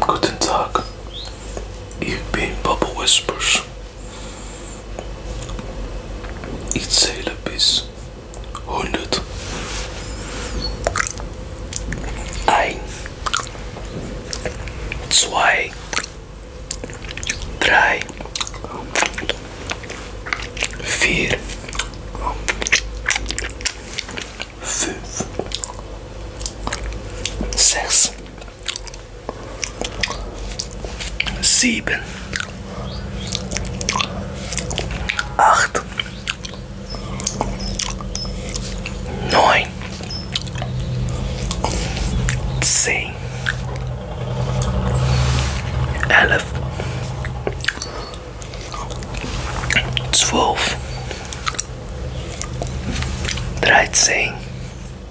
Guten You've been Bubble Whispers. Iets zähle bis. 100. 1. 2. 3. 4. 5. 6 zeven, Acht. Neun. Zehn. Elf. Zwölf. Dreizehn.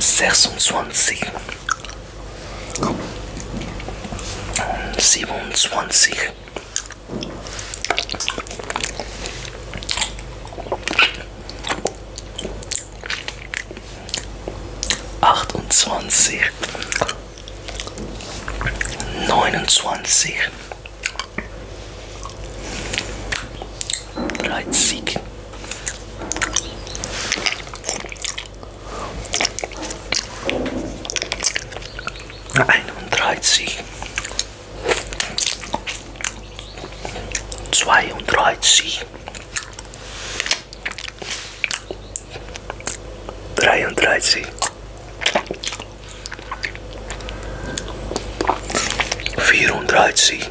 26 27 28 29 30 en dreißig, vier dreiunddreißig, vierunddreißig.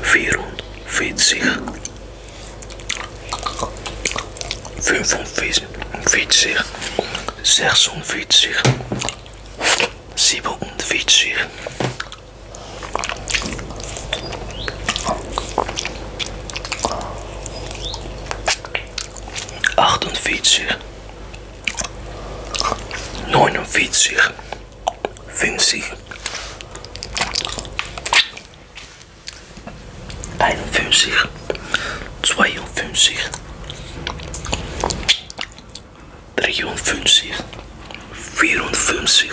vierhonderdveertig, vijfhonderdveertig, zeshonderdveertig, zevenhonderdveertig. 48 49 functie. Einfunzig, Zweihunfunzig, Driehunfunzig, Vierhunfunzig.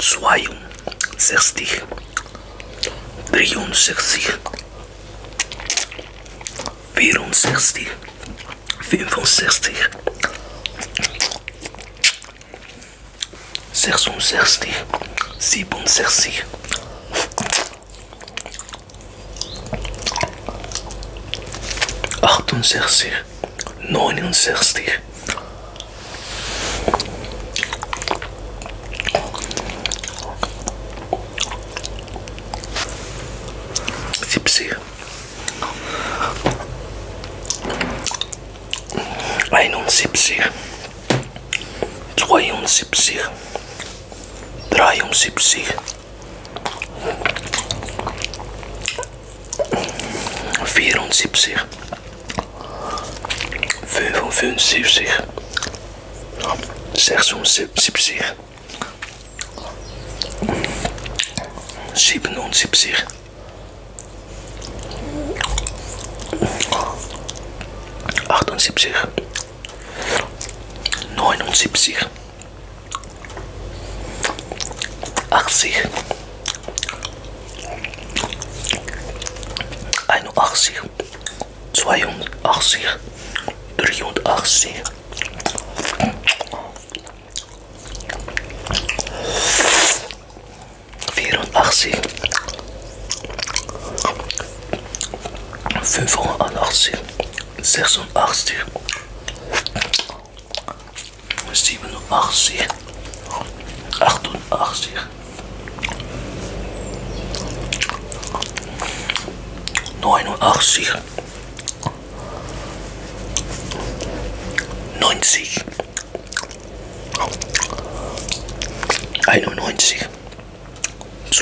62, 360, 64, 65, 66, 67, 68, 96, 70, Einundsiebzig, zweiundsiebzig, dreiundsiebzig, 74 75 76 77 78 79 80 81 82 83 84 85 86 87. 88. 89. 90.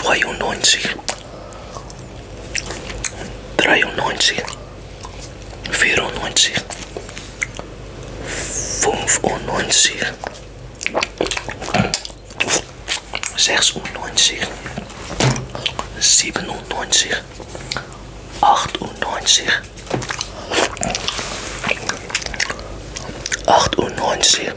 91. 92. 93. 94 95 96 97 98 98 99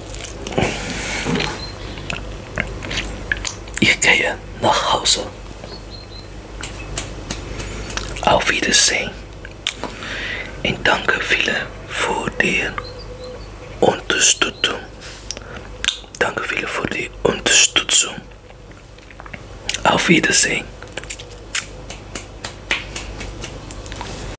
Ich gehe nach Hause. Auf Wiedersehen. Und danke viele für die Unterstützung. Danke viele für die Unterstützung. Auf Wiedersehen.